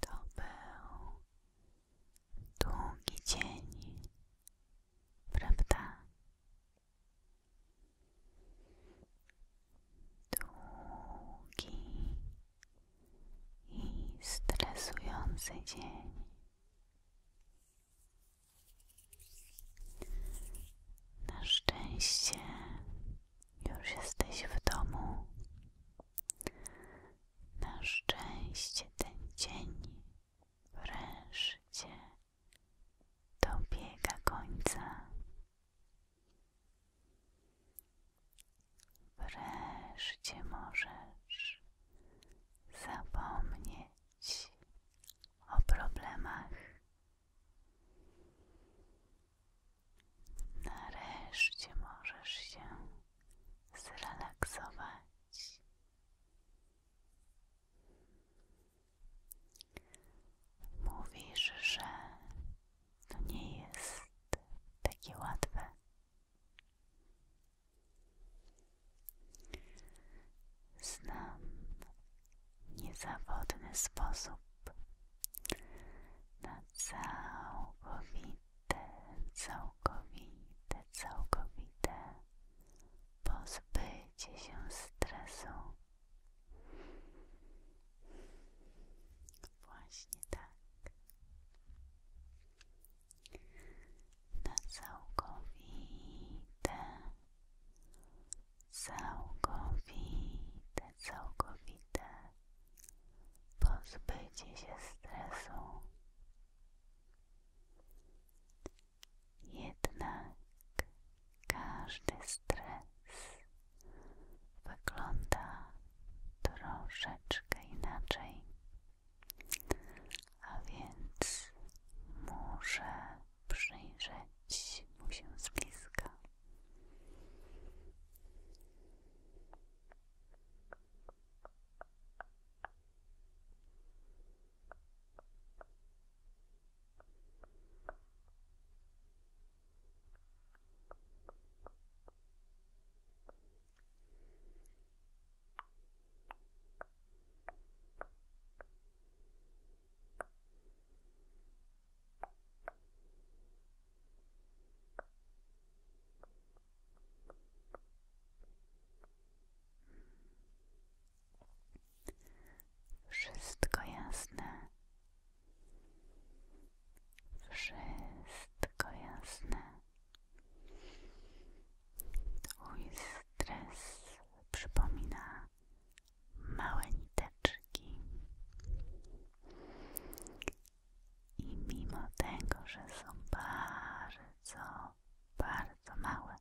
To był długi dzień, prawda? Długi i stresujący dzień. Na szczęście już jesteś w domu. Na szczęście ten dzień wreszcie dobiega końca. Wreszcie możesz zapomnieć o problemach Nareszcie możesz się zrelaksować. Mówisz, że nie jest takie łatwe. Znam niezawodny sposób na całkowite, całkowite, całkowite pozbycie się stresu. Właśnie tak. Na całkowite całkowite, całkowite pozbycie się stresu. Jednak każdy stres wygląda troszeczkę inaczej, a więc może przyjrzeć mu się z bliska. Wszystko jasne. Wszystko jasne. Twój stres przypomina małe niteczki. I mimo tego, że są bardzo, bardzo małe,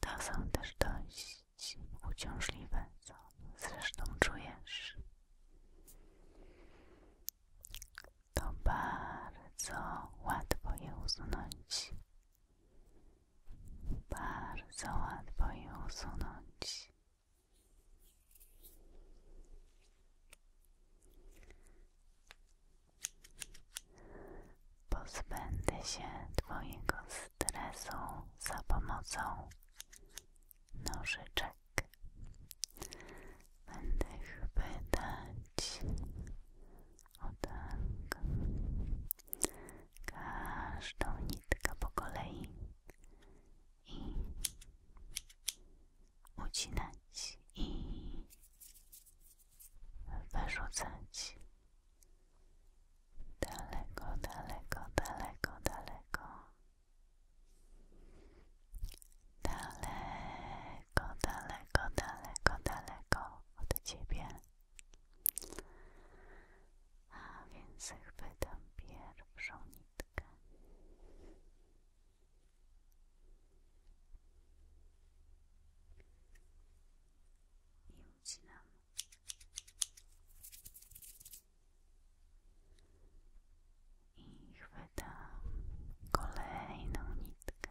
to są też dość uciążliwe, co zresztą czujesz. To bardzo łatwo je usunąć bardzo łatwo je usunąć. Pozbędę się Twojego stresu za pomocą nożyczek. Będę chwytać o tak. Każdą nitkę po kolei i ucinać i wyrzucać daleko, daleko, daleko, daleko. Daleko, daleko, daleko, daleko, daleko od ciebie. A więc chwytam pierwszą nitkę. I ucinam. I chwytam kolejną nitkę.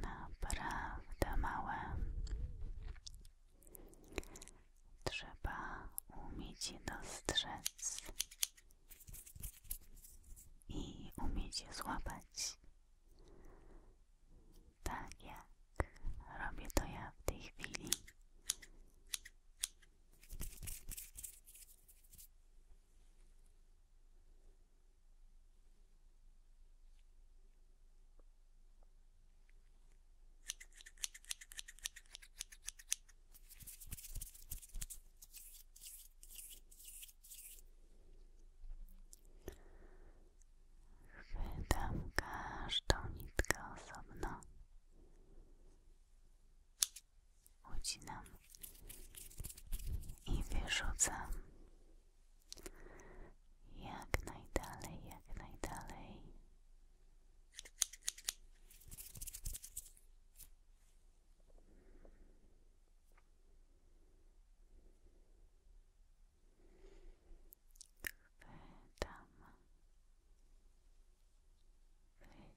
naprawdę małe. Trzeba umieć je dostrzec i umieć złapać. Tak jak robię to ja w tej chwili. Chwytam każdą nitkę osobno. Ucinam i wyrzucam jak najdalej, jak najdalej. Chwytam,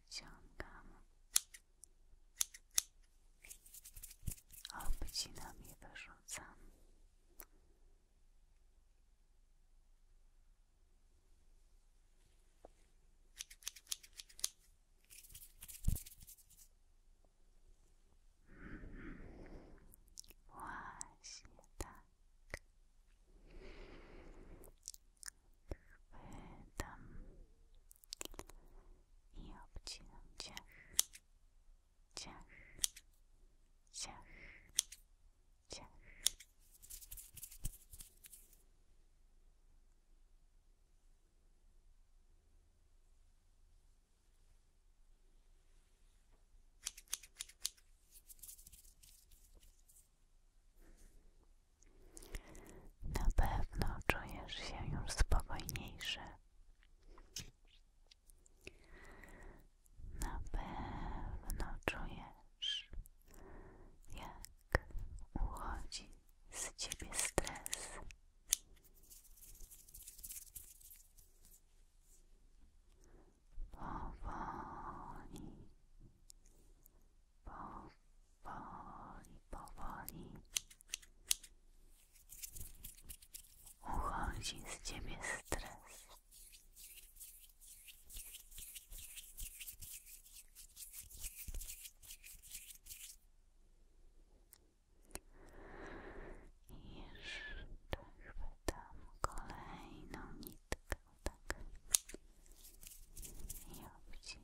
wyciągam, obcinam i wyrzucam. Właśnie tak. Chwytam i obcinam na pewno czujesz się już spokojniejszy. Napewno czujesz, jak uchodzi z ciebie stres. Powoli, powoli, powoli Uchodzi z ciebie stres. I jeszcze chwytam kolejną nitkę, tak, I kolejną nitkę.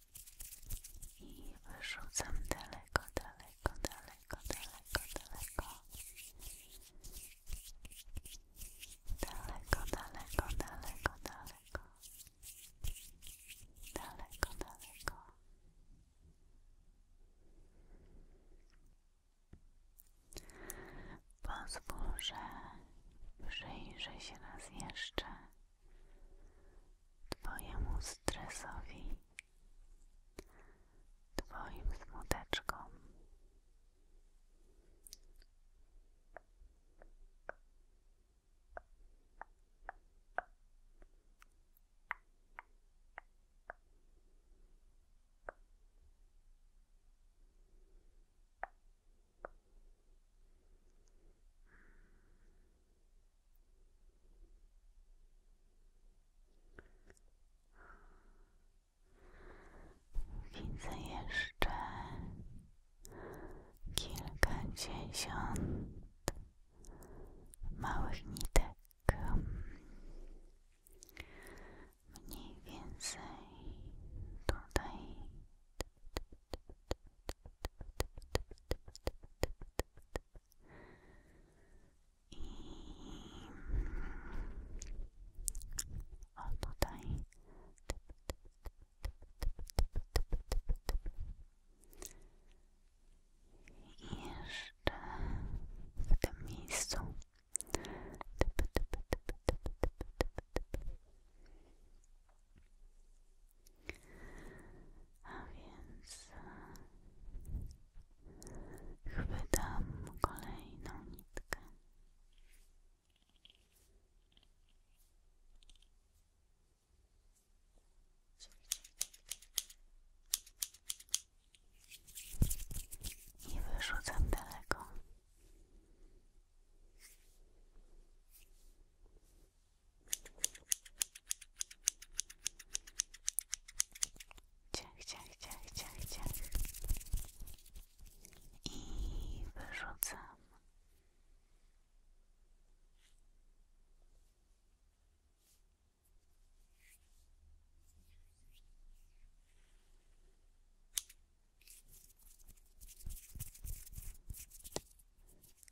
i wyrzucam daleko, daleko, daleko, daleko, daleko. Daleko, daleko, daleko, daleko. Daleko, daleko. Pozwól, że się raz jeszcze Twojemu stresowi, Twoim smuteczkom. Widzę jeszcze kilkadziesiąt małych nitek, mniej więcej tutaj i o tutaj i jeszcze w tym miejscu a więc e, chwytam kolejną nitkę. I wyrzucam daleko. Ciach, ciach, ciach, ciach, ciach. I wyrzucam.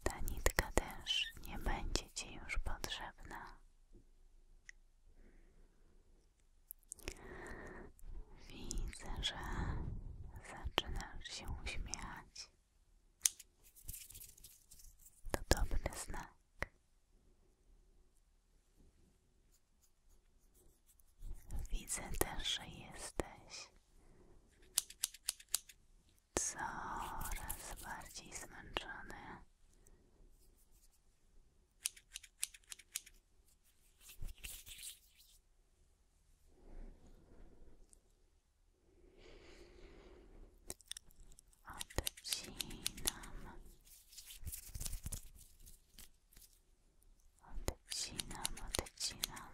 Ta nitka też nie będzie Ci już potrzebna. Widzę, że zaczynasz się uśmiechać. To dobry znak. Widzę też, że jesteś coraz bardziej zmęczony. Odcinam, odcinam, odcinam.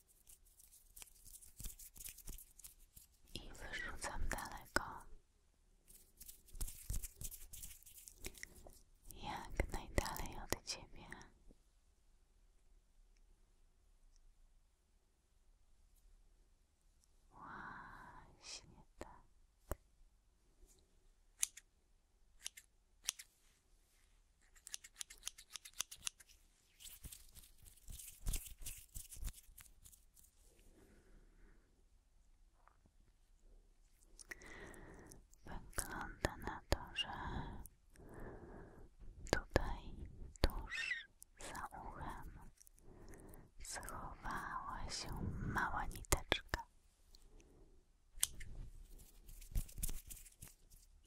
i wyrzucam daleko, jak najdalej od ciebie. Właśnie tak. Wygląda na to, że tutaj tuż za uchem schowała się mała niteczka.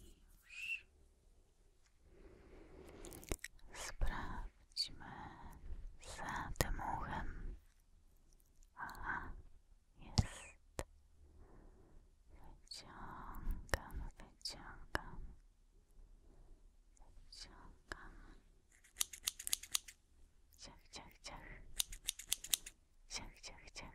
I już Sprawdźmy za tym uchem. Aha, jest. Wyciągam, wyciągam, wyciągam. Ciach, ciach, ciach. Ciach, ciach, ciach.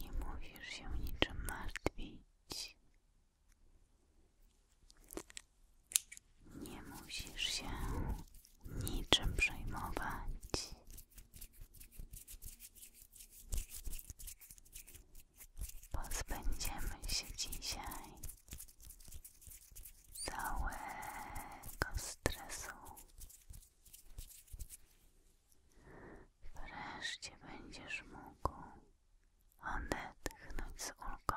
Nie mówisz się niczym martwić, nie musisz się niczym przejmować. Pozbędziemy się dzisiaj całego stresu. Wreszcie będziesz mógł odetchnąć z ulgą.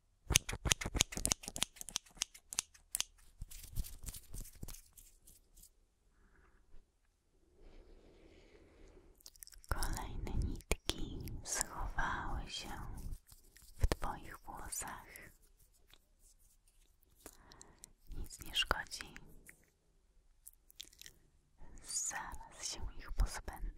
Kolejne nitki schowały się w Twoich włosach. Nic nie szkodzi. Zaraz się ich pozbędę.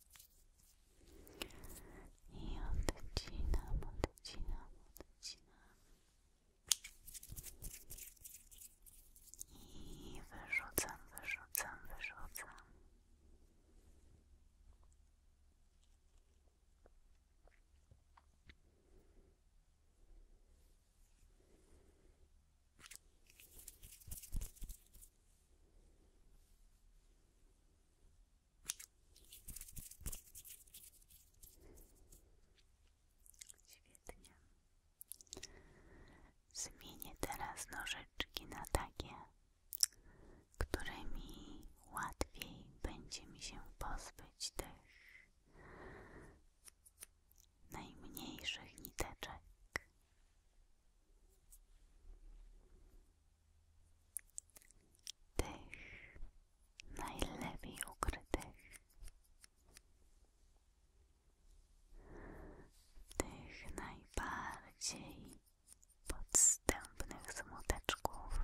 I odcinam, odcinam, odcinam. I wyrzucam, wyrzucam, wyrzucam. Świetnie. Zmienię teraz nożyczki na takie, którymi łatwiej będzie mi się pozbyć tych najmniejszych niteczek tych najlepiej ukrytych, tych najbardziej podstępnych smuteczków.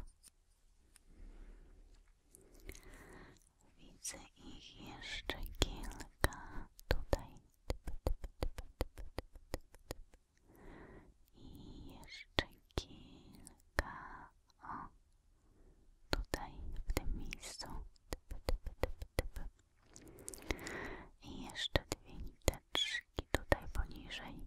Widzę ich jeszcze kilka tutaj. Typ, i jeszcze kilka o tutaj w tym miejscu typ, typ, i jeszcze dwie niteczki tutaj poniżej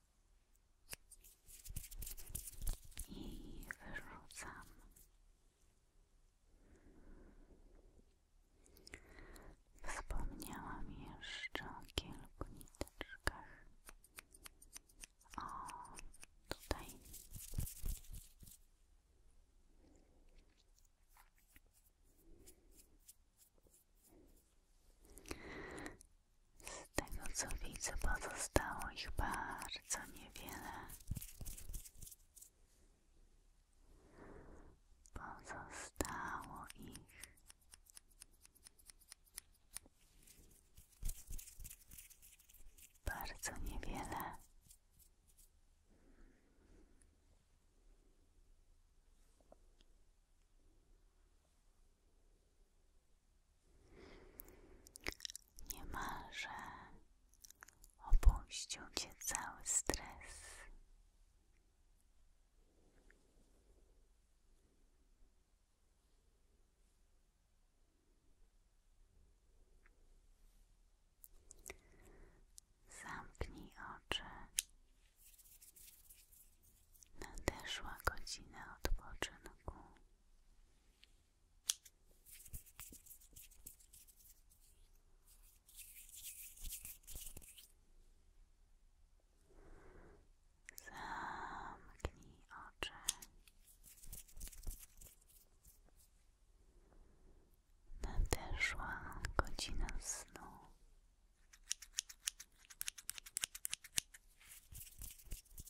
i wyrzucam. Wspomniałam jeszcze o kilku niteczkach. O, tutaj. Z tego co widzę, pozostało ich bardzo niewiele. Pozostało ich. Bardzo niewiele. Niemalże opuścił cię cały stres. Zamknij oczy. Nadeszła godzina odpoczynku. Zamknij oczy. Nadeszła godzina snu.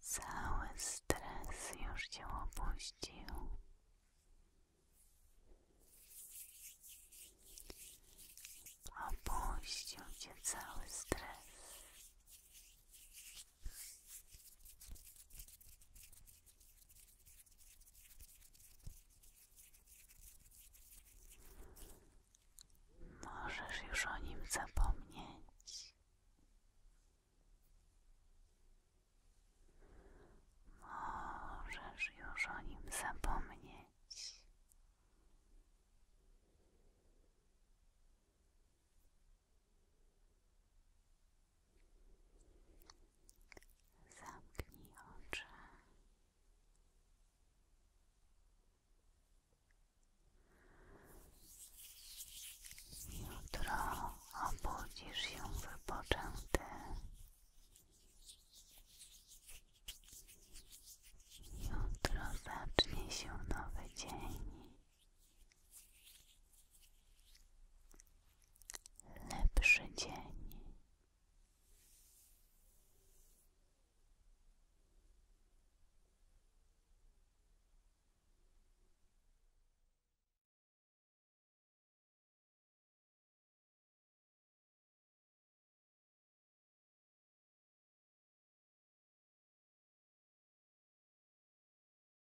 Cały stres już cię opuścił. Opuścił cię cały stres. Możesz już o nim zapomnieć. Możesz już o nim zapomnieć. Zamknij oczy. Jutro obudzisz się wypoczęty. Jutro zacznie się nowy dzień lepszy dzień.